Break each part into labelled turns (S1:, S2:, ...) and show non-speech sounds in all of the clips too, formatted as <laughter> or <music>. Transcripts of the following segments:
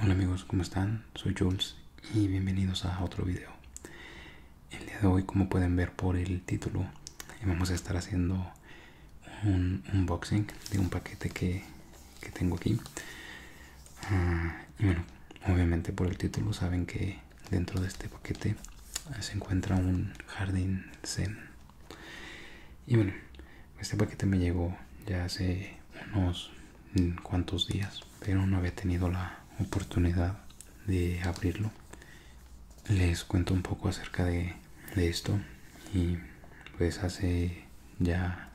S1: Hola amigos, ¿cómo están? Soy Jules y bienvenidos a otro video. El día de hoy, como pueden ver por el título, eh, vamos a estar haciendo un unboxing de un paquete que que tengo aquí ah, y bueno obviamente por el título saben que dentro de este paquete ah, se encuentra un jardín zen y bueno este paquete me llegó ya hace unos cuantos días pero no había tenido la oportunidad de abrirlo les cuento un poco acerca de, de esto y pues hace ya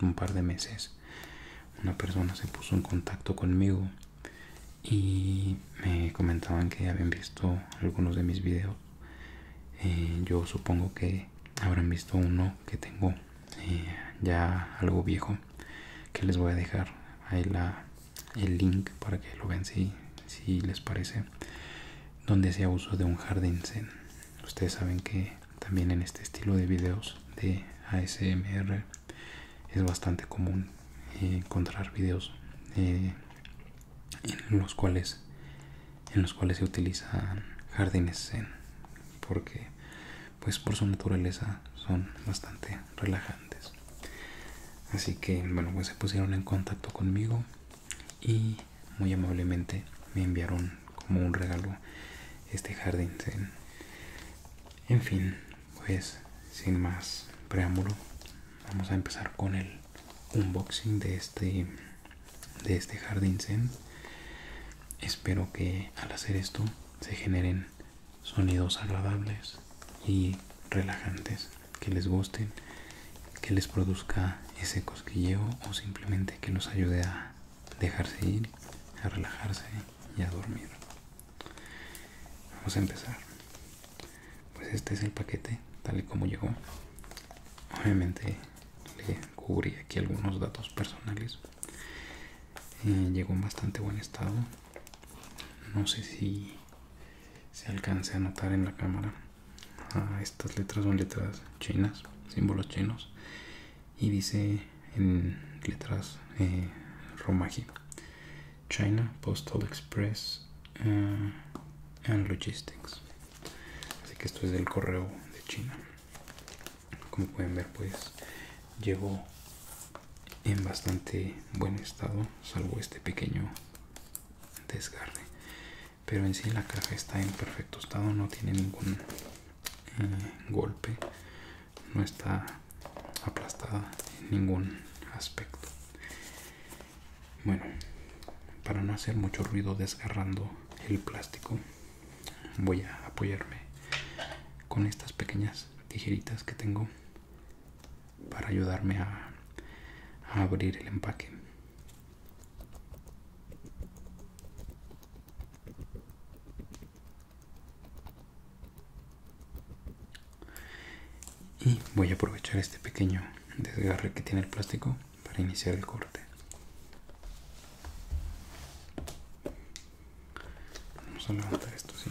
S1: un par de meses una persona se puso en contacto conmigo y me comentaban que habían visto algunos de mis videos eh, yo supongo que habrán visto uno que tengo eh, ya algo viejo que les voy a dejar ahí el link para que lo vean si, si les parece donde hacía uso de un jardín ustedes saben que también en este estilo de videos de ASMR es bastante común encontrar videos eh, en los cuales en los cuales se utilizan jardines porque pues por su naturaleza son bastante relajantes así que bueno pues se pusieron en contacto conmigo y muy amablemente me enviaron como un regalo este jardín zen. En fin, pues sin más preámbulo, vamos a empezar con el unboxing de este de este jardín zen. Espero que al hacer esto se generen sonidos agradables y relajantes que les gusten, que les produzca ese cosquilleo o simplemente que nos ayude a dejarse ir, a relajarse y a dormir. Vamos a empezar. Pues este es el paquete, tal y como llegó. Obviamente le cubrí aquí algunos datos personales. Eh, llegó en bastante buen estado. No sé si se alcance a notar en la cámara. Ah, estas letras son letras chinas, símbolos chinos y dice en letras eh, China Postal Express eh, and Logistics así que esto es del correo de China como pueden ver pues llevo en bastante buen estado salvo este pequeño desgarre pero en sí la caja está en perfecto estado no tiene ningún eh, golpe no está aplastada en ningún aspecto bueno para no hacer mucho ruido desgarrando el plástico voy a apoyarme con estas pequeñas tijeritas que tengo para ayudarme a abrir el empaque y voy a aprovechar este pequeño desgarre que tiene el plástico para iniciar el corte. Vamos a levantar esto, así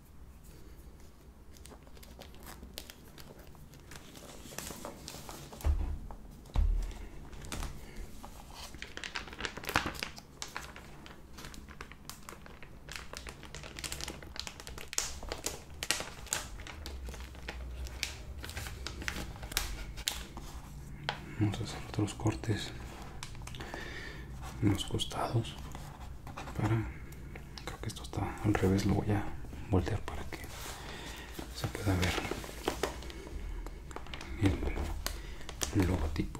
S1: vamos a hacer otros cortes en los costados para creo que esto está al revés lo voy a voltear para que se pueda ver el logotipo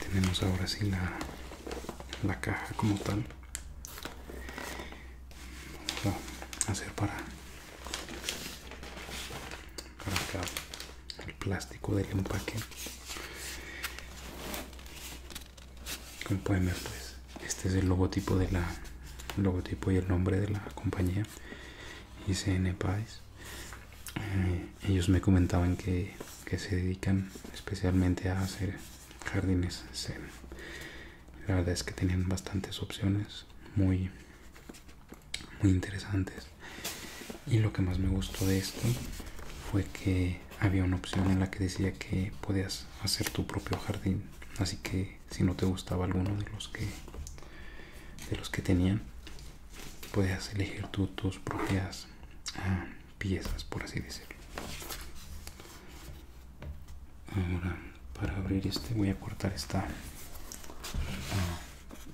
S1: tenemos ahora sí la, caja como tal. Vamos a hacer para, el plástico del empaque. Como pueden ver, pues este es el logotipo de la logotipo y el nombre de la compañía y Pais. Eh, ellos me comentaban que, se dedican especialmente a hacer jardines La verdad es que tenían bastantes opciones muy, muy interesantes. Y lo que más me gustó de esto fue que había una opción en la que decía que podías hacer tu propio jardín. Así que si no te gustaba alguno de los que de los que tenían puedes elegir tú tus propias ah, piezas por así decirlo ahora para abrir este voy a cortar esta ah,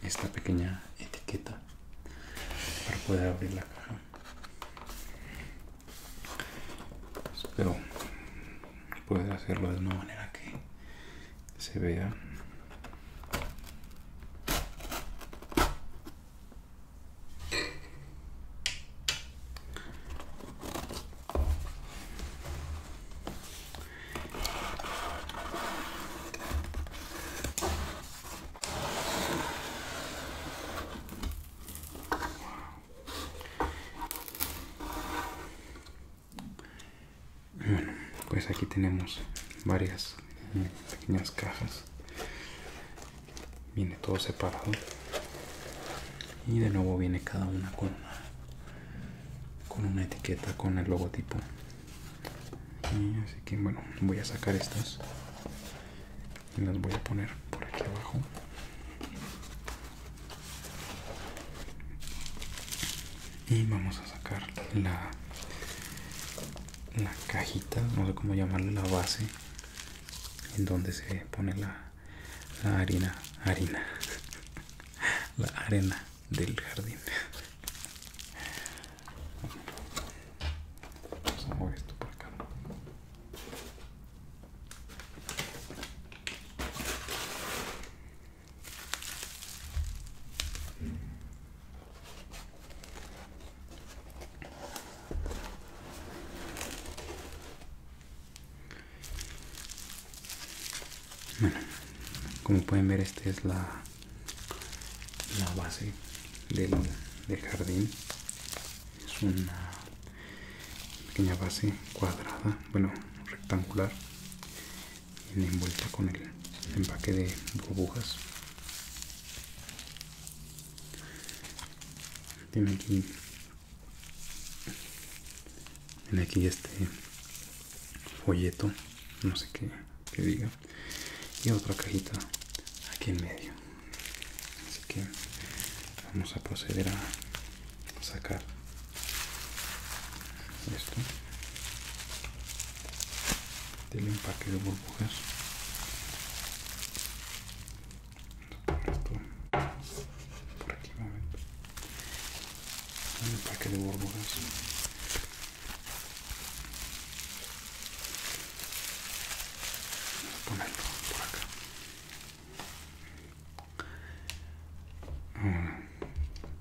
S1: esta pequeña etiqueta para poder abrir la caja espero puede hacerlo de una manera que se vea bueno pues aquí tenemos varias pequeñas cajas viene todo separado y de nuevo viene cada una con una con una etiqueta con el logotipo y así que bueno voy a sacar estas y las voy a poner por aquí abajo y vamos a sacar la la cajita no sé cómo llamarle la base en donde se pone la, la harina harina <laughs> la arena del jardín vamos a mover esto por acá bueno, como pueden ver, esta es la, base del, del jardín. Es una pequeña base cuadrada, bueno, rectangular envuelta con el empaque de burbujas tiene aquí tiene aquí este folleto no sé qué, qué diga y otra cajita aquí en medio así que vamos a proceder a sacar esto del empaque de burbujas. Por aquí un momento. El empaque de burbujas. ponerlo por acá Ahora,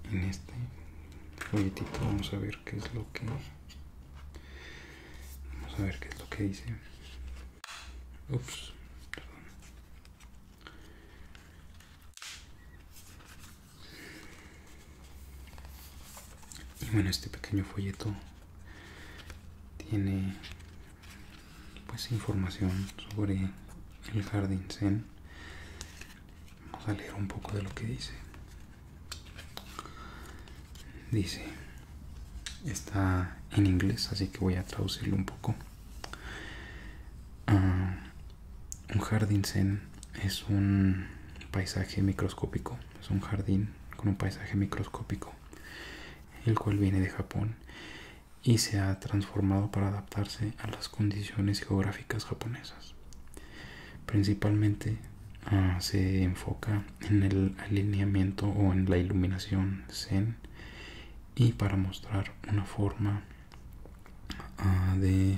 S1: mm, en este folletito vamos a ver qué es lo que vamos a ver qué es lo que dice ups perdón y bueno este pequeño folleto tiene pues información sobre el jardín zen Vamos a leer un poco de lo que dice. Dice, está en inglés, así que voy a traducirlo un poco. Ah, un jardín zen es un paisaje microscópico, es un jardín con un paisaje microscópico, el cual viene de Japón y se ha transformado para adaptarse a las condiciones geográficas japonesas. Principalmente ah, se enfoca en el alineamiento o en la iluminación zen y para mostrar una forma ah, de...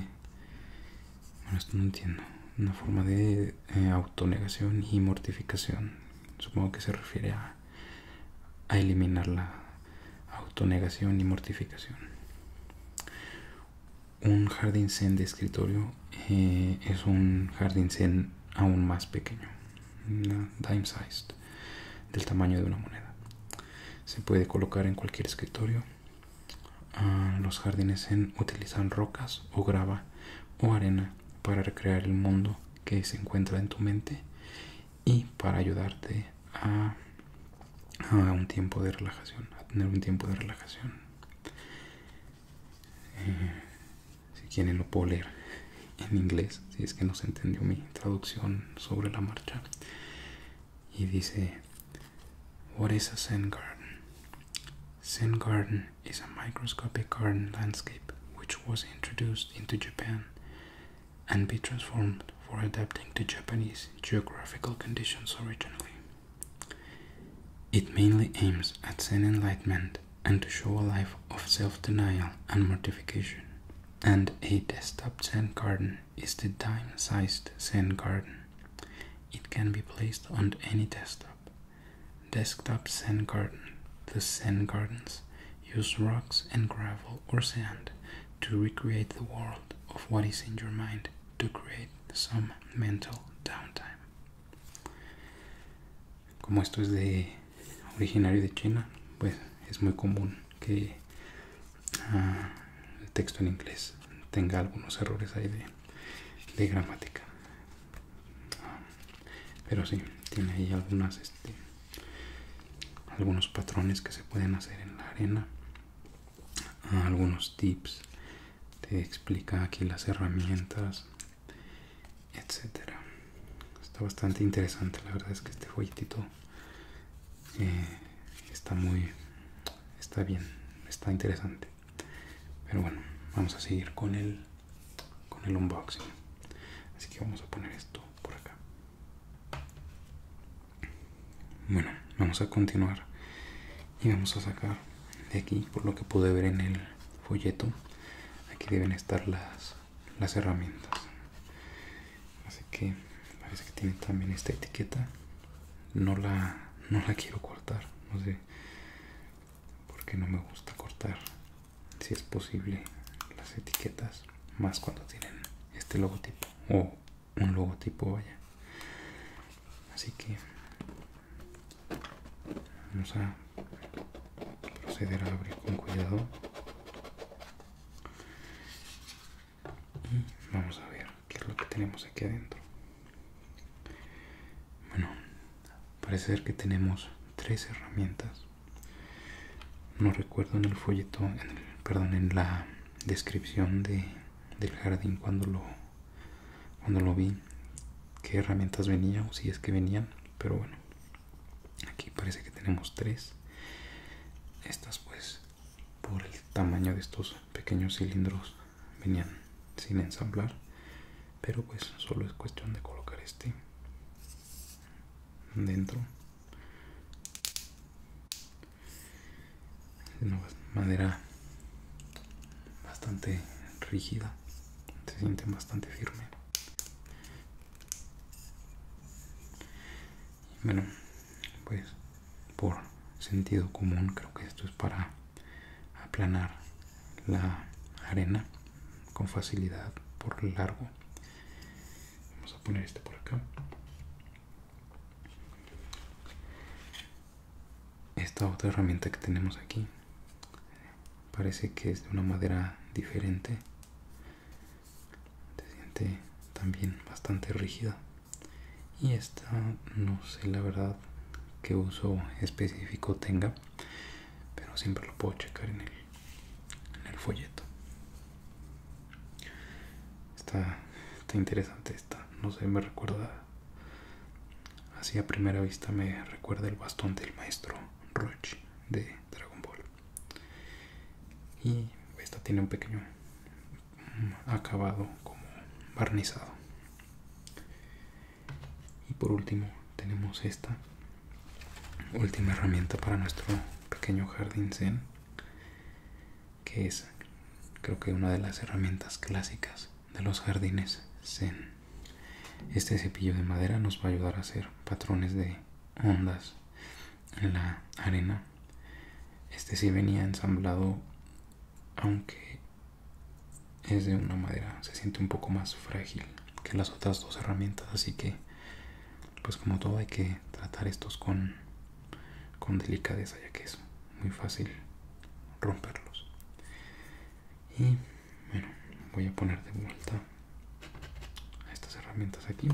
S1: Una forma de eh, autonegación y mortificación. Supongo que se refiere a, a eliminar la, autonegación y mortificación. Un jardín zen de escritorio eh, es un jardín zen aún más pequeño, dime-sized, del tamaño de una moneda. Se puede colocar en cualquier escritorio. Ah, los jardines zen utilizan rocas o grava o arena para recrear el mundo que se encuentra en tu mente y para ayudarte a, un tiempo de relajación, a tener un tiempo de relajación. Eh, si quieren lo puedo leer en inglés, si es que no se entendió mi traducción sobre la marcha. Y dice, What is a Zen garden? Zen garden is a microscopic garden landscape which was introduced into Japan and be transformed for adapting to Japanese geographical conditions originally. It mainly aims at Zen enlightenment and to show a life of self denial and mortification. And a desktop Zen garden is the dime sized Zen garden. It can be placed on any desktop. Desktop Zen garden. The Zen gardens use rocks and gravel o sand to recreate the world of what is in your mind to create some mental downtime. Como esto es de originario de China, pues es muy común que ah, el texto en inglés tenga algunos errores ahí de, gramática. pero sí, tiene ahí algunas este, algunos patrones que se pueden hacer en la arena Ah, algunos tips te explica aquí las herramientas etcétera está bastante interesante la verdad es que este folletito eh, está muy está bien está interesante pero bueno vamos a seguir con el con el unboxing así que vamos a poner esto por acá bueno, vamos a continuar y vamos a sacar de aquí, por lo que pude ver en el folleto, aquí deben estar las, herramientas. Así que parece que tiene también esta etiqueta. No la, la quiero cortar, no sé, porque no me gusta cortar, si es posible, las etiquetas, más cuando tienen este logotipo un logotipo vaya así que vamos a proceder a abrir con cuidado y vamos a ver qué es lo que tenemos aquí adentro bueno parece ser que tenemos tres herramientas no recuerdo en el folleto perdón en la descripción de, del jardín cuando lo, cuando lo vi, qué herramientas venían, o si es que venían, pero bueno, aquí parece que tenemos tres. Estas pues por el tamaño de estos pequeños cilindros venían sin ensamblar, pero pues solo es cuestión de colocar este dentro de una madera bastante rígida, se siente bastante firme. bueno, pues por sentido común creo que esto es para aplanar la arena con facilidad por largo. Vamos a poner este por acá esta otra herramienta que tenemos aquí parece que es de una madera diferente se siente también bastante rígida y esta no sé la verdad qué uso específico tenga pero siempre lo puedo checar en el, en el folleto Está, interesante esta. No sé, me recuerda. Así a primera vista me recuerda el bastón del maestro Roach de Dragon Ball. Y esta tiene un pequeño acabado como barnizado. Y por último tenemos esta última herramienta para nuestro pequeño jardín zen que es creo que una de las herramientas clásicas de los jardines zen. Este cepillo de madera nos va a ayudar a hacer patrones de ondas en la arena. Este sí venía ensamblado, aunque es de una madera, se siente un poco más frágil que las otras dos herramientas, así que pues como todo hay que tratar estos con, con delicadeza ya que es muy fácil romperlos y bueno voy a poner de vuelta estas herramientas aquí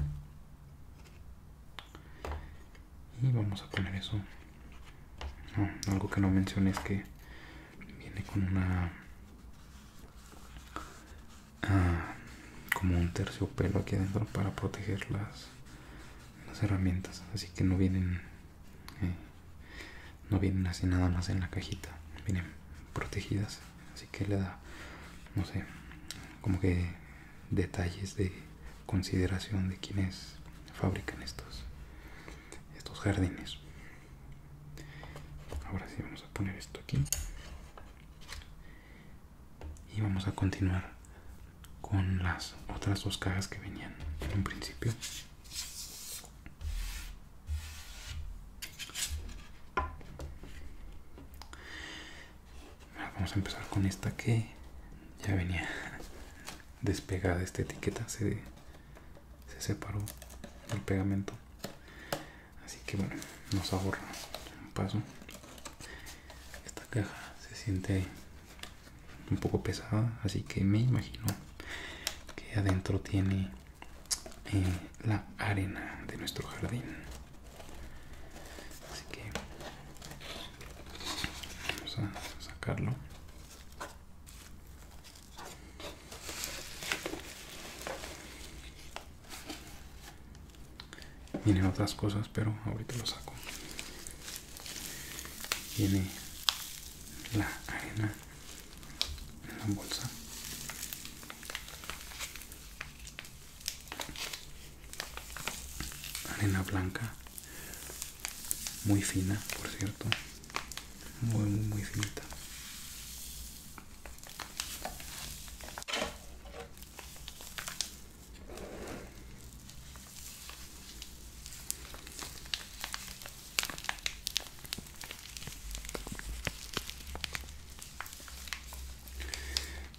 S1: y vamos a poner eso algo que no mencioné es que viene con una ah, como un terciopelo aquí adentro para protegerlas las herramientas así que no vienen eh, no vienen así nada más en la cajita vienen protegidas así que le da no sé como que detalles de consideración de quienes fabrican estos estos jardines ahora sí vamos a poner esto aquí y vamos a continuar con las otras dos cajas que venían en un principio vamos a empezar con esta que ya venía <laughs> despegada esta etiqueta se, se separó el pegamento así que bueno nos ahorra un paso esta caja se siente un poco pesada así que me imagino que adentro tiene eh, la arena de nuestro jardín así que vamos a sacarlo tiene otras cosas pero ahorita lo saco Tiene la arena en la bolsa arena blanca muy fina por cierto muy muy muy finita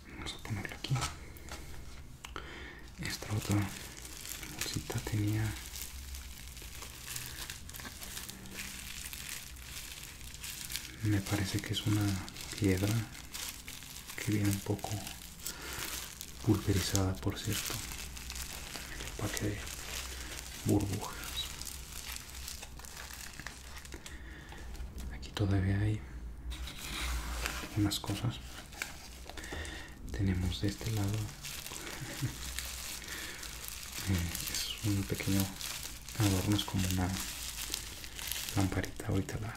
S1: Vamos a ponerlo aquí. Esta otra bolsita tenía me parece que es una piedra que viene un poco pulverizada por cierto el empaque de burbujas aquí todavía hay unas cosas tenemos de este lado <laughs> eh, es un pequeño adorno es como una lamparita ahorita la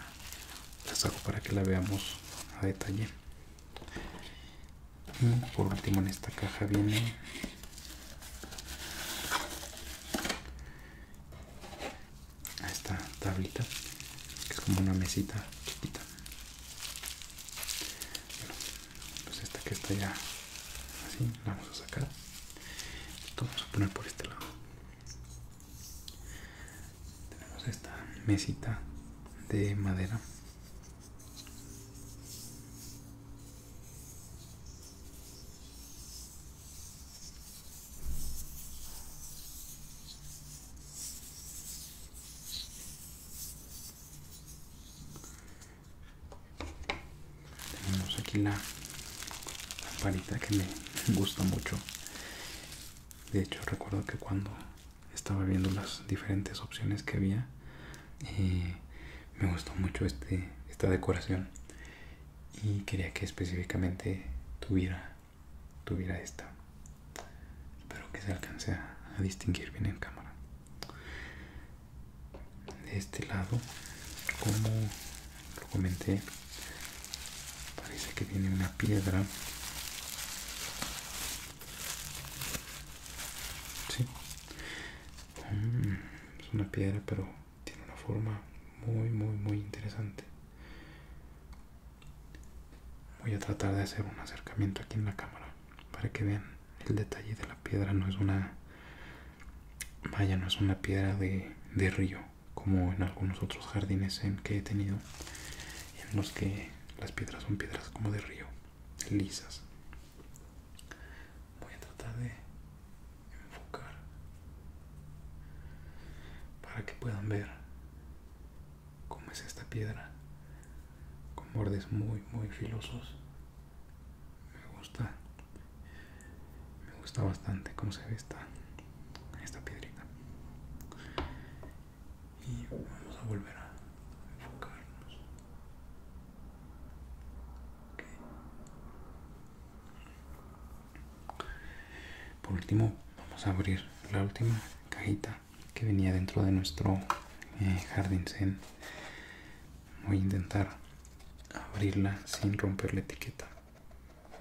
S1: las hago para que la veamos a detalle y por último en esta caja viene esta tablita que es como una mesita chiquita pues esta que está ya así la vamos a sacar vamos a poner por este lado tenemos esta mesita de madera. Tenemos aquí la amparita que me gusta mucho de hecho recuerdo que cuando estaba viendo las diferentes opciones que había eh, me gustó mucho este, esta decoración y quería que específicamente tuviera tuviera esta espero que se alcance a distinguir bien en cámara de este lado como lo comenté parece que tiene una piedra mm, es una piedra pero tiene una forma muy muy muy interesante voy a tratar de hacer un acercamiento aquí en la cámara para que vean el detalle de la piedra no es una vaya no es una piedra de río como en algunos otros jardines en que he tenido en los que las piedras son piedras como de río lisas voy a tratar de enfocar para que puedan ver cómo es esta piedra con bordes muy muy filosos me gusta me gusta bastante cómo se ve esta esta piedrita y vamos a volver a enfocarnos por último vamos a abrir la última cajita que venía dentro de nuestro eh, zen voy a intentar abrirla sin romper la etiqueta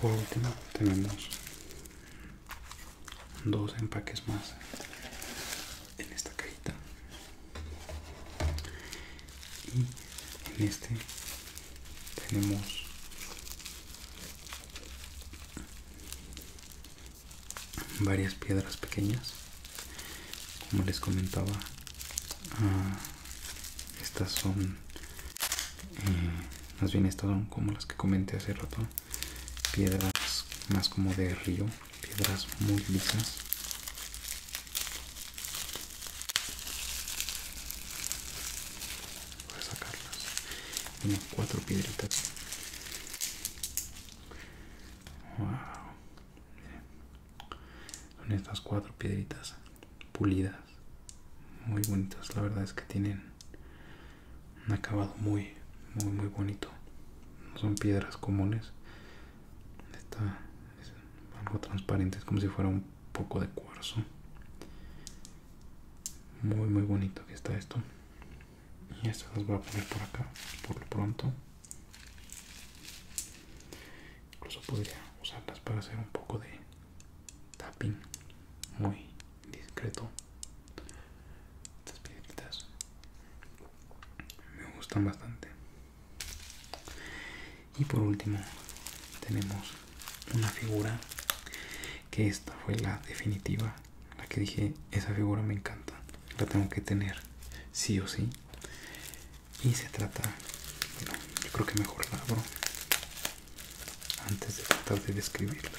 S1: Por último tenemos dos empaques más en esta cajita y en este tenemos varias piedras pequeñas como les comentaba ah, estas son eh, más bien estas son como las que comenté hace rato piedras más como de río piedras muy lisas voy a sacarlas unas cuatro piedritas wow son estas cuatro piedritas pulidas muy bonitas la verdad es que tienen un acabado muy muy muy bonito no son piedras comunes está algo transparente es como si fuera un poco de cuarzo muy muy bonito que está esto y esto las voy a poner por acá por lo pronto incluso podría usarlas para hacer un poco de tapping muy discreto estas piedritas me gustan bastante y por último tenemos una figura que esta fue la definitiva la que dije esa figura me encanta la tengo que tener sí o sí y se trata yo creo que mejor la abro antes de tratar de describirlo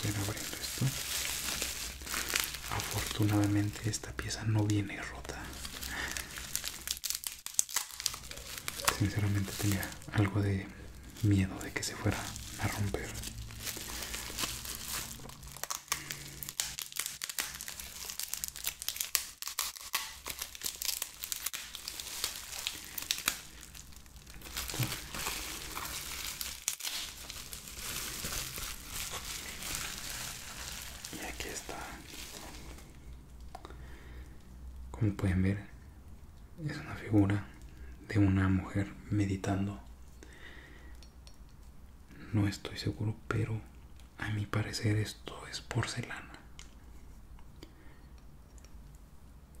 S1: Vamos a ir abriendo esto. Afortunadamente esta pieza no viene rota. Sinceramente tenía algo de miedo de que se fuera a romper y aquí está como pueden ver es una figura de una mujer meditando no estoy seguro pero a mi parecer esto es porcelana.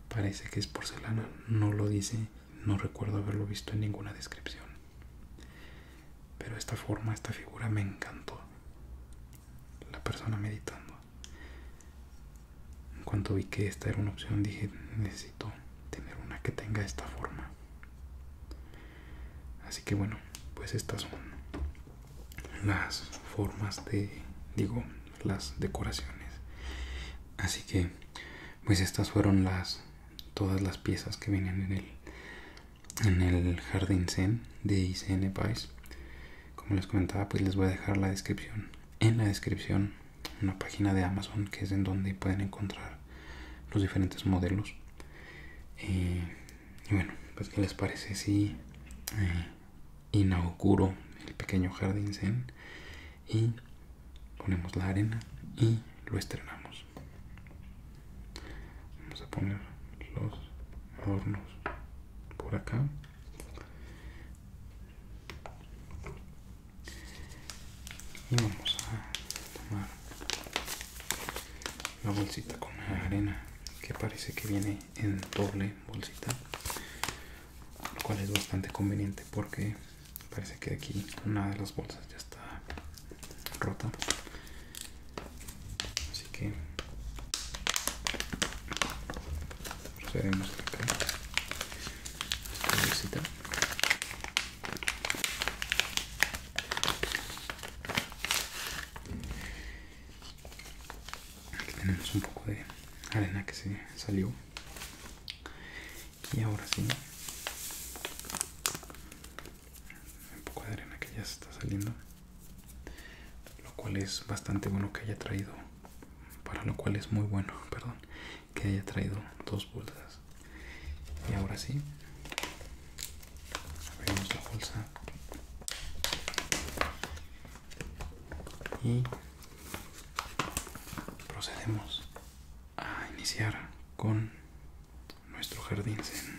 S1: Parece que es porcelana, no lo dice, no recuerdo haberlo visto en ninguna descripción. Pero esta forma, esta figura me encantó. La persona meditando. En cuanto vi que esta era una opción, dije, necesito tener una que tenga esta forma. Así que bueno, pues estas son las formas de digo las decoraciones así que pues estas fueron las todas las piezas que vienen en el en el jardín zen de ICN Vice como les comentaba pues les voy a dejar la descripción en la descripción una página de Amazon que es en donde pueden encontrar los diferentes modelos eh, y bueno, pues qué les parece si eh, inauguro el pequeño jardín zen y ponemos la arena y lo estrenamos. Vamos a poner los adornos por acá. Y vamos a tomar la bolsita con la arena que parece que viene en doble bolsita lo cual es bastante conveniente porque parece que aquí una de las bolsas ya está rota así que procedemos esta bolsita aquí tenemos un poco de arena que se salió y ahora sí un poco de arena que ya está saliendo lo cual es bastante bueno que haya traído para lo cual es muy bueno <laughs> perdón que haya traído dos bolsas y ahora sí abrimos la bolsa y procedemos a iniciar con nuestro jardín zen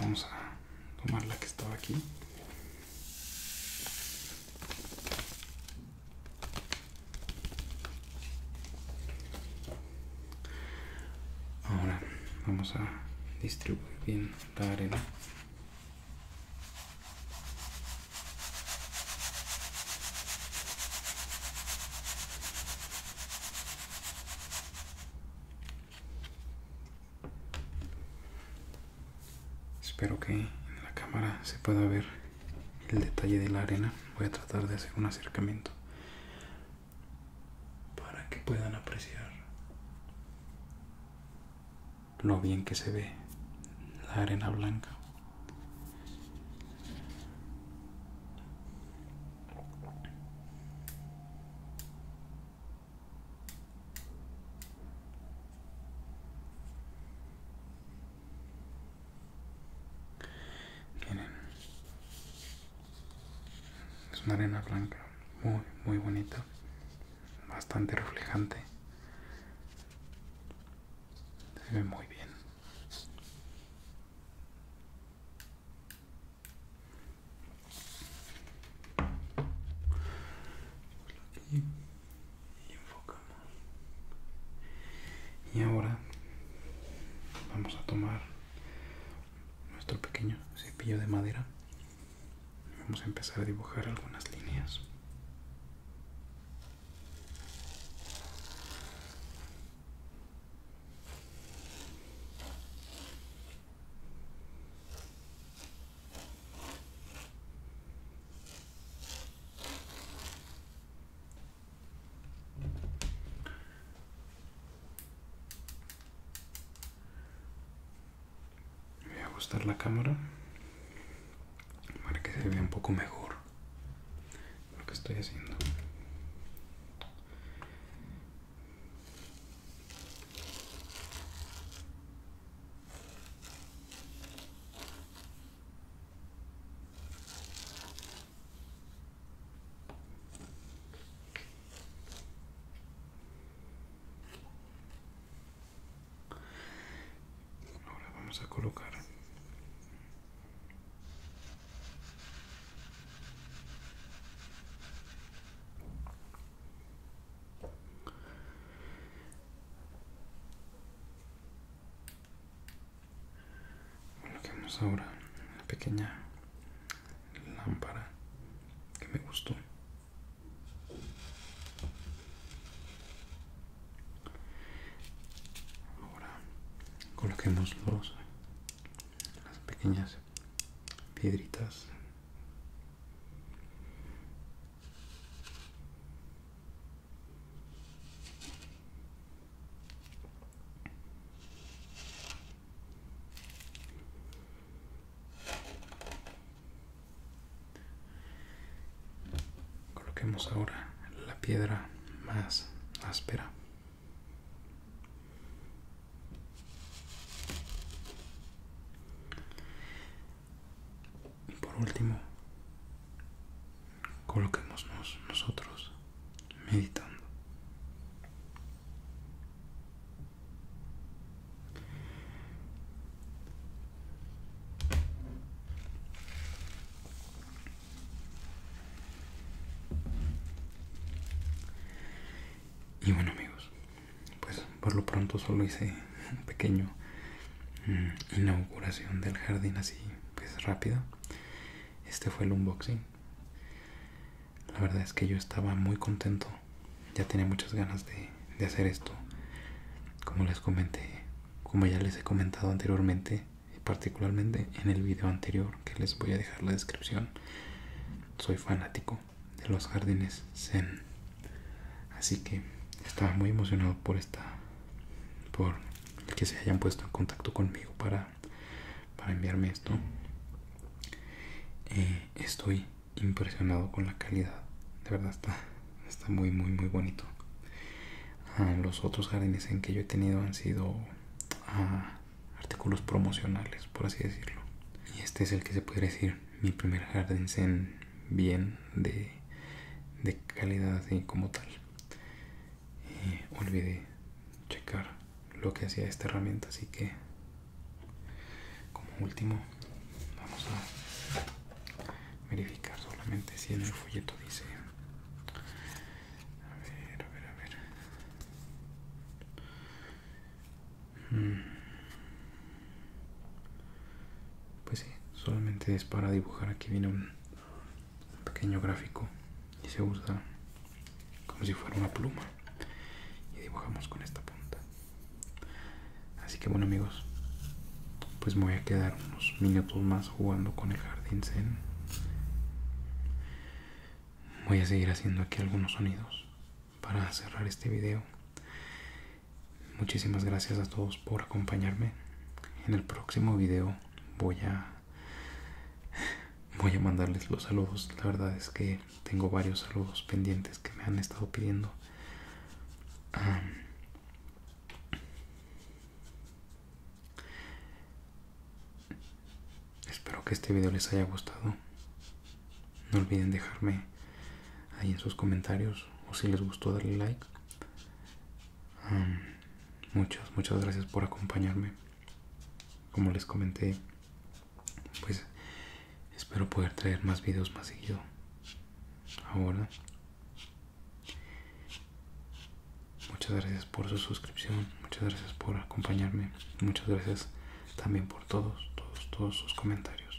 S1: vamos a tomar la que estaba aquí Ahora vamos a distribuir bien la arena. Espero que en la cámara se pueda ver el detalle de la arena. Voy a tratar de hacer un acercamiento para que puedan apreciar lo bien que se ve la arena blanca es una arena blanca, muy, muy bonita, bastante reflejante. Se ve muy bien. Y Y ahora vamos a tomar nuestro pequeño cepillo de madera. Y vamos a empezar a dibujar algunas líneas. Voy a ajustar la cámara para que se vea un poco mejor lo que estoy haciendo. Ahora vamos a colocar Coloquemos ahora la pequeña lámpara que me gustó. Ahora coloquemos los, las pequeñas piedritas Coloquemos ahora la piedra más áspera. Y por último, coloquémonos nosotros meditando. Y bueno amigos, pues por lo pronto solo hice un pequeño mm, inauguración del jardín así pues rápido este fue el unboxing la verdad es que yo estaba muy contento ya tenía muchas ganas de, hacer esto como les comenté como ya les he comentado anteriormente y particularmente en el video anterior que les voy a dejar la descripción soy fanático de los jardines Zen. Así que estaba muy emocionado por esta, por el que se hayan puesto en contacto conmigo para, para enviarme esto. Eh, estoy impresionado con la calidad, de verdad está, está muy, muy, muy bonito. Ah, los otros jardines Zen que yo he tenido han sido ah, artículos promocionales, por así decirlo. Y este es el que se puede decir mi primer jardín zen bien de, calidad así como tal y eh, olvidé checar lo que hacía esta herramienta así que como último vamos a verificar solamente si en el folleto dice a ver a ver a ver Mm. Pues sí, solamente es para dibujar. Aquí viene un pequeño gráfico y se usa como si fuera una pluma. Y dibujamos con esta punta. Así que bueno amigos, pues voy a quedar unos minutos más jugando con el jardín zen. Voy a seguir haciendo aquí algunos sonidos para cerrar este video. Muchísimas gracias a todos por acompañarme. En el próximo video voy a voy a mandarles los saludos. La verdad es que tengo varios saludos pendientes que me han estado pidiendo. espero que este video les haya gustado. No olviden dejarme ahí en sus comentarios o si les gustó darle like. muchas, muchas gracias por acompañarme. Como les comenté, pues espero poder traer más videos más seguido. Ahora. Muchas gracias por su suscripción, muchas gracias por acompañarme, muchas gracias también por todos, todos, todos sus comentarios.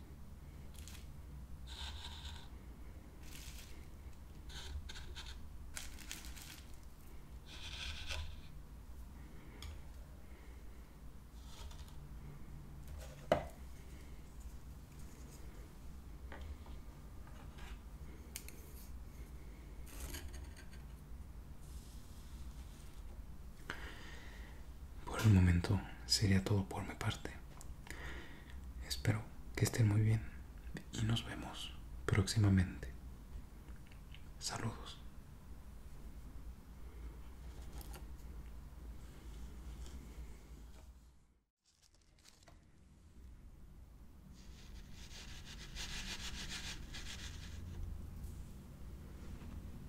S1: Por el momento sería todo por mi parte. Espero que estén muy bien y nos vemos próximamente. Saludos.